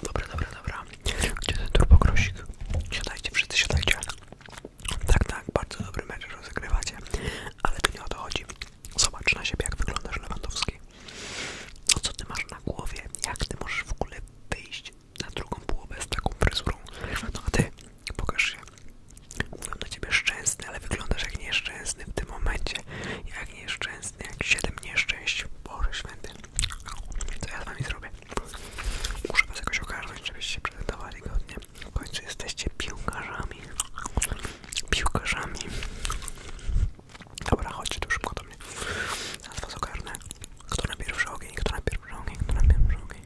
Dobra, dobra, dobra. Gdzie ten turbokrosik? Siadajcie, wszyscy siadajcie. Tak, tak, bardzo dobry mecz rozegrywacie. Ale to nie o to chodzi. Zobacz na siebie, jak wyglądasz, Lewandowski. No co ty masz na głowie? Jak ty możesz w ogóle wyjść na drugą połowę z taką fryzurą? No a ty, pokaż się. Mówię do ciebie szczęsny, ale wyglądasz jak nieszczęsny w tym momencie. Jak nieszczęsny, jak siedem nieszczęść. Boże święty. Co ja z wami zrobię? Muszę was jakoś ogarnąć, żebyście się prezentowali godnie. W końcu jesteście piłkarzami. Piłkarzami. Dobra, chodźcie tu szybko do mnie. Teraz was ogarnę. Kto na pierwszy ogień, kto na pierwszy ogień, kto na pierwszy ogień.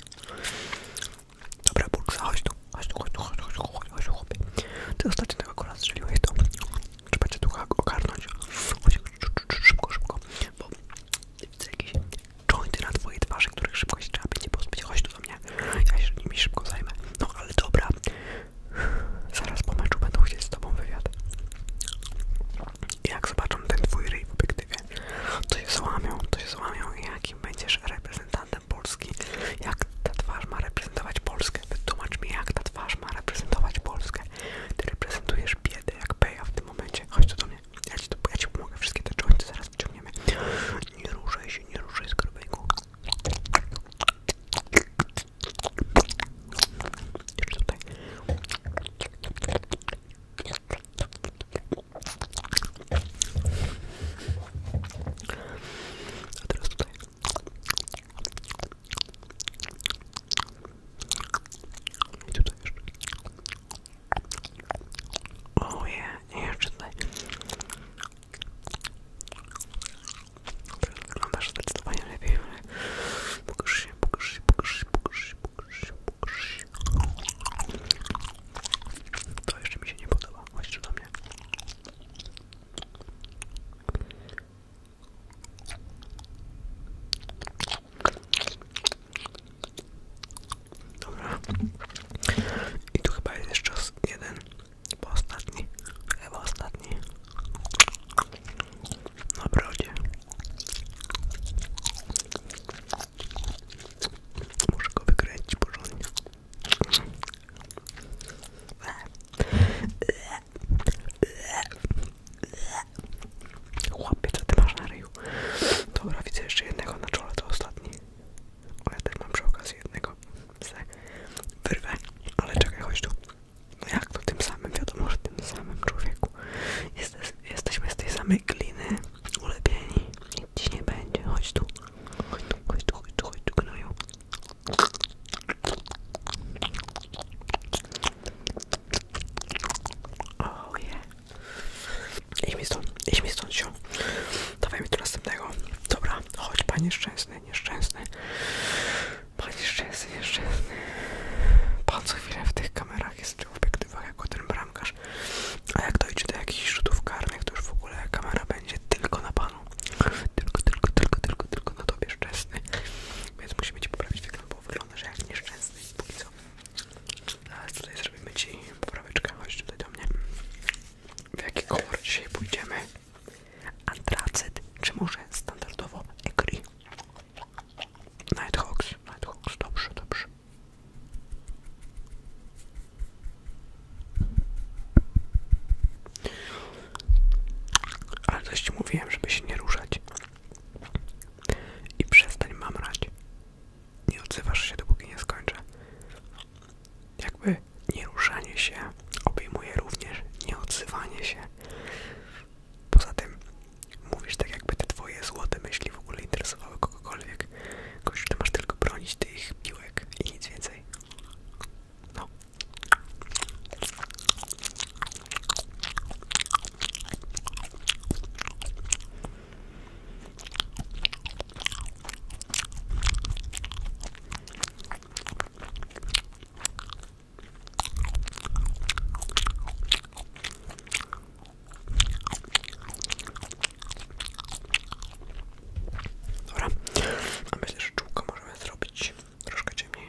Dobra, Burksa, chodź tu. Chodź tu, chodź tu, chodź tu, chodź tu, chodź, chodź, chodź. Ty ostatnio tego tak kola strzeliłeś, to trzeba cię tu ogarnąć. Chodź, szybko, szybko, bo widzę jakieś jointy na twojej twarzy, których szybko się trzeba będzie pozbyć, chodź tu do mnie, ja się nimi szybko zajmę, no ale dobra, zaraz po meczu będą chcieć z tobą wywiad i jak zobaczą ten twój ryj w obiektywie, to się złamią, to się złamią i jakim będziesz reprezentantem Polski, jak ta twarz ma reprezentować Polskę, wytłumacz mi jak ta twarz ma reprezentować Polskę, ty reprezentujesz biedę, kurde, jak peja w tym momencie. Chodź tu do mnie. Ja ci, to, ja ci pomogę. Wszystkie te jointy zaraz wyciągniemy. Nie ruszaj się, nie ruszaj skorbeńku. Jeszcze tutaj. A teraz tutaj. I tutaj jeszcze. Oh yeah, jeszcze tutaj. Wyglądasz zdecydowanie lepiej, ale pokaż się, pokaż się, pokaż się, pokaż się, pokaż się, To jeszcze mi się nie podoba, chodź do mnie. Dobra. I tu chyba jest jeszcze jeden, ostatni, chyba ostatni. Na brodzie. Muszę go wykręcić porządnie. Chłopie, że ty masz na ryju? Dobra, widzę jeszcze jednego na czole, to ostatni. O, ja mam przy okazji jednego. Se wyrwę, ale czekaj, chodź tu. No jak to tym samym, wiadomo, że tym samym człowieku. Jesteś, jesteśmy z tej samej gliny, ulepieni. Nic ci nie będzie, chodź tu. Chodź tu, chodź tu, chodź tu, chodź tu, gnoju. Oh yeah. Idź mi stąd, idź stąd się. Dawaj mi tu następnego. Dobra, chodź panie szczęsny, nieszczęsny. Panie szczęsny, nieszczęsny. Pan co chwilę w tych kamerach jest w tych obiektywach jako ten bramkarz. A jak dojdzie do jakichś rzutów karnych, to już w ogóle kamera będzie tylko na panu. Tylko, tylko, tylko, tylko, tylko na tobie szczęsny. Więc musimy ci poprawić wygląd, bo wyglądasz jak nieszczęsny, póki co. No, ale tutaj zrobimy Ci popraweczkę, chodź tutaj do mnie. W jaki kolor dzisiaj pójdziemy? Antracyt, czy może standardowo Egri? Nighthawks, Nighthawks, dobrze, dobrze. Ale coś ci mówiłem, żeby się nie ruszać. I przestań mam rać. Nie odzywasz się, dopóki nie skończę. Jakby nieruszanie się obejmuje również nieodzywanie się. Poza tym mówisz tak, jakby te twoje złote myśli w ogóle interesowały kogokolwiek. Kogoś, ty masz tylko bronić tych piłek i nic więcej. No. Dobra, a myślę, że czułko możemy zrobić troszkę ciemniej.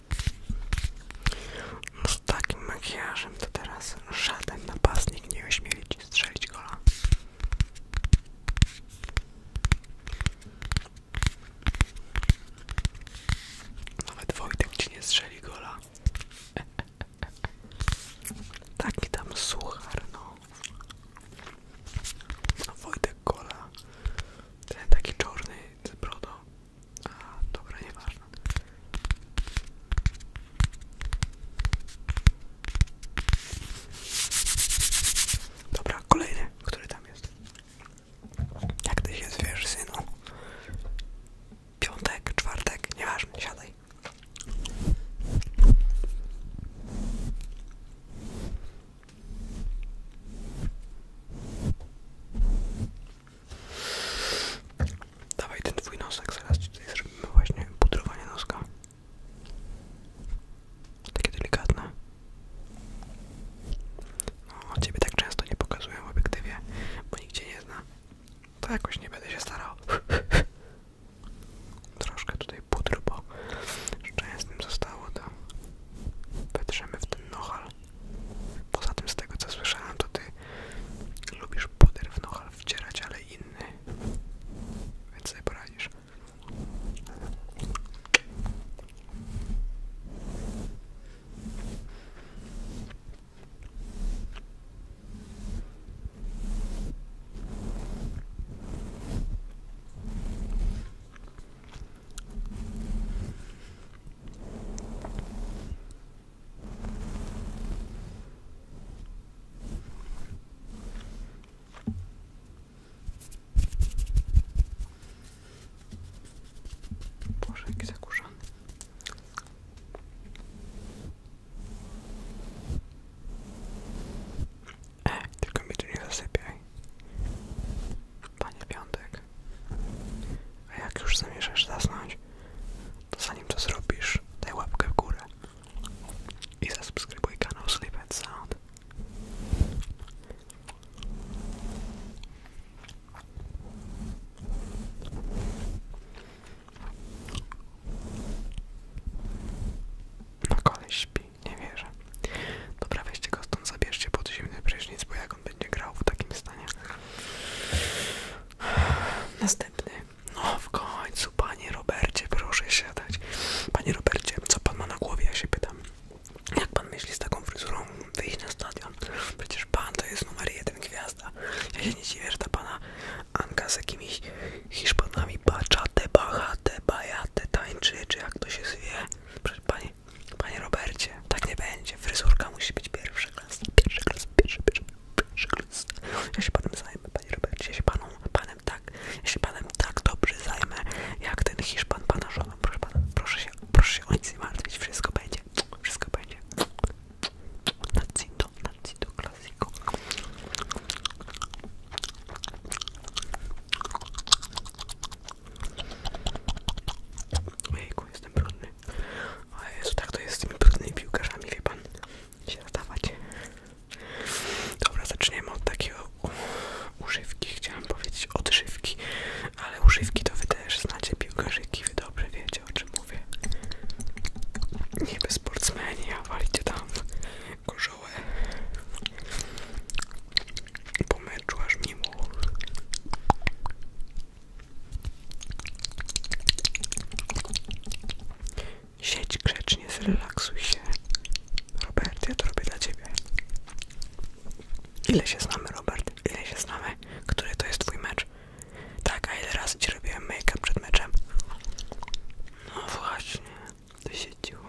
No z takim makijażem to teraz żaden napastnik nie ośmieli ci strzelić gola. Nawet Wojtek nie strzeli gola. Taki tam suchar, no. No Wojtek gola. Ten taki czarny z brodą. A, dobra, nieważne. Dobra, kolejny, który tam jest. Jak ty się zwiesz, synu? Piątek, czwartek, nieważne, Dawaj ten twój nosek, zaraz ci tutaj zrobimy właśnie pudrowanie noska. Takie delikatne. No, ciebie tak często nie pokazuję w obiektywie, bo nigdzie nie zna. To jakoś nie będę się starał. Troszkę tutaj pudru, bo jeszcze z nim zostało, to wytrzemy w ten nohal. Poza tym z tego co słyszałem, to ty lubisz puder w nohal wcierać, ale inny. Więc sobie poradzisz. Boże, jaki zakurzony. E, tylko mi tu nie zasypiaj. Panie Piątek. A jak już zamierzasz zasnąć, zanim to zrobisz, daj łapkę w górę i zasubskrybuj kanał Sleep and Sound. A no koleś śpi, nie wierzę. Dobra, weźcie go stąd, zabierzcie pod zimny prysznic, bo jak będzie grał w takim stanie. Następny. No w końcu, panie Robercie, proszę dać Panie Robercie, co pan ma na głowie, ja się pytam. Jak pan myśli z taką fryzurą wyjść na stadion? Przecież pan to jest numer jeden gwiazda. Ja się nie dziwię, że ta pana Anka z jakimiś Hiszpanami baczate, te bajate, tańczy, czy jak to się zwie. Proszę pani, panie Robercie, tak nie będzie. Fryzurka musi być pierwsza klasa, pierwsza klasa, pierwsza, pierwsza. Szklista. Ja się panem zajmę, panie Robercie, ja się paną, panem tak, ja się panem tak dobrze zajmę, jak ten Hiszpan pana żoną, proszę pana, proszę się, proszę się o nic nie martwić, wszystko będzie, wszystko będzie. Nacito, nacito, klasiko. Ojejku, jestem brudny. O Jezu, tak to jest z tymi brudnymi piłkarzami, wie pan. Się zadawać. Dobra, zaczniemy od takiego używki, Chciałem powiedzieć odżywki, ale używki to wy też znacie piłkarzyki, wy dobrze wiecie o czym mówię. Niby sportsmeni, a walicie tam gorzołę. Po meczu aż mimo. Siedź grzecznie, zrelaksuj się. Robert, ja to robię dla ciebie. Ile się znamy, Robert? Ile się znamy? Który to jest twój mecz? Tak, a ile razy ci robiłem make-up przed meczem? No właśnie, to się dzieło.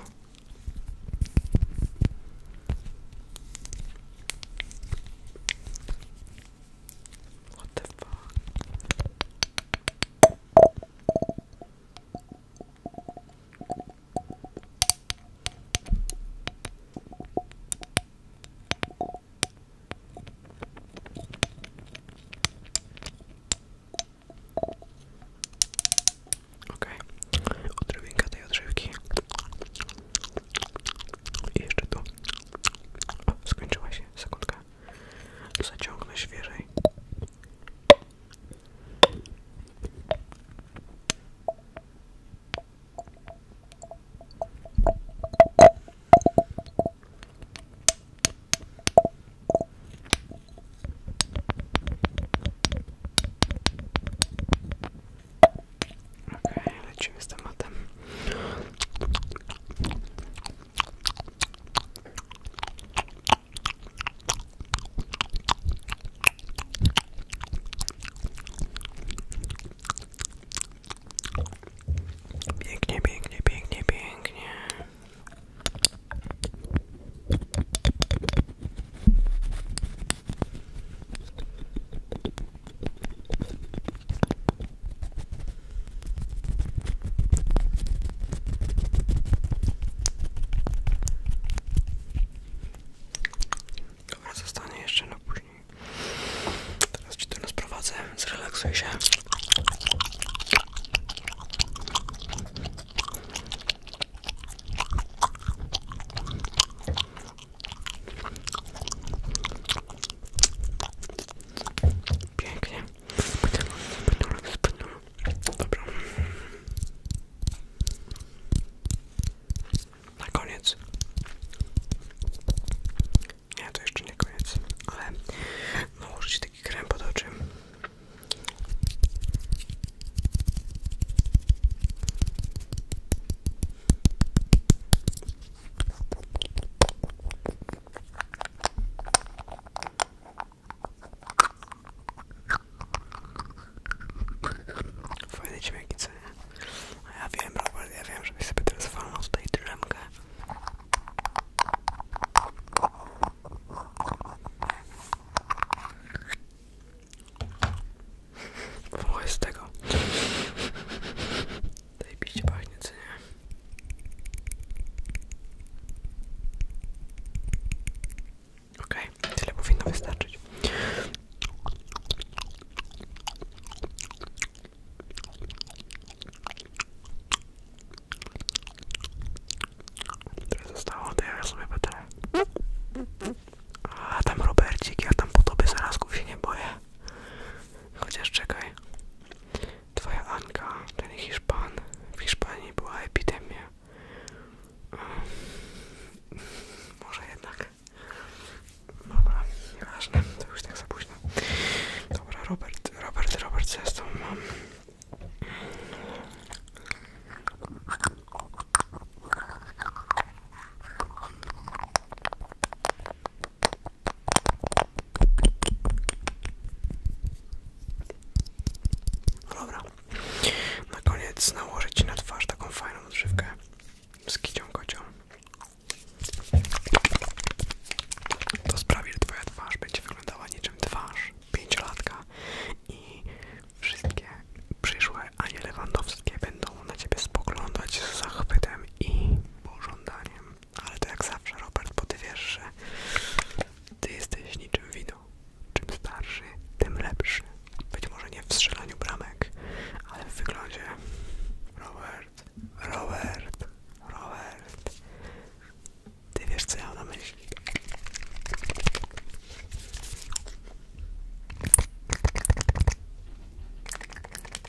What Okej, okay. odrobinka tej odżywki i jeszcze tu. O, się się, sekundkę. Zaciągnę świeżej. Okej, okay, lecimy z tematem. Pięknie, pięknie, pięknie, pięknie. To zostanie jeszcze na później. Teraz ci to rozprowadzę, zrelaksuj się. Pięknie. Dobra. Na koniec. Nie, to jeszcze nie koniec, ale nałożyć taki krem pod oczy. Fajne dźwięki, co nie? A ja wiem, Robert, ja wiem, żebyś sobie teraz walnął tutaj drzemkę. O, jest Zajebiście pachnie, co nie? Okej, okay, tyle powinno wystarczyć. Tyle zostało, to ja sobie będę. A tam Robercik, ja tam po tobie zarazków się nie boję. Chociaż czekaj. Twoja Anka, czyli Hiszpan. W Hiszpanii była epidemia. może jednak. Dobra, nieważne, to już tak za późno. Dobra, Robert, Robert, Robert, co ja z tą mam? No dobra. Na koniec nałożę Ci na twarz taką fajną odżywkę z kicią kocią. To sprawi, że Twoja twarz będzie wyglądała niczym twarz pięciolatka i wszystkie przyszłe Anie Lewandowskie będą na Ciebie spoglądać z zachwytem i pożądaniem ale to jak zawsze Robert, bo ty wiesz, że ty jesteś niczym wino. Czym starszy, tym lepszy. Być może nie w strzelaniu bramek, ale w wyglądzie. Robert, Robert, Robert. Ty wiesz co ja mam na myśli.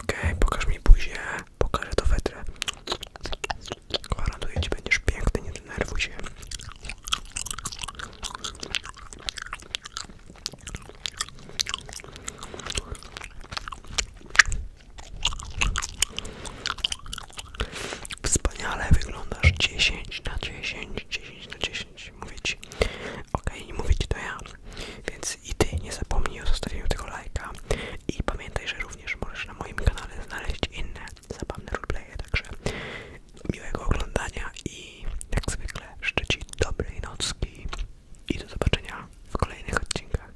Okej, pokaż mi buzię, pokażę to wetrę. Gwarantuję ci, będziesz nie denerwuj się. Wspaniale wyglądasz 10 na 10, 10 na 10. Mówić, ci, okej, okay, mówię ci to ja. Więc i ty nie zapomnij o zostawieniu tego lajka. I pamiętaj, że również możesz na moim kanale znaleźć inne zabawne roleplaye. Także miłego oglądania i jak zwykle życzę ci dobrej nocki i do zobaczenia w kolejnych odcinkach.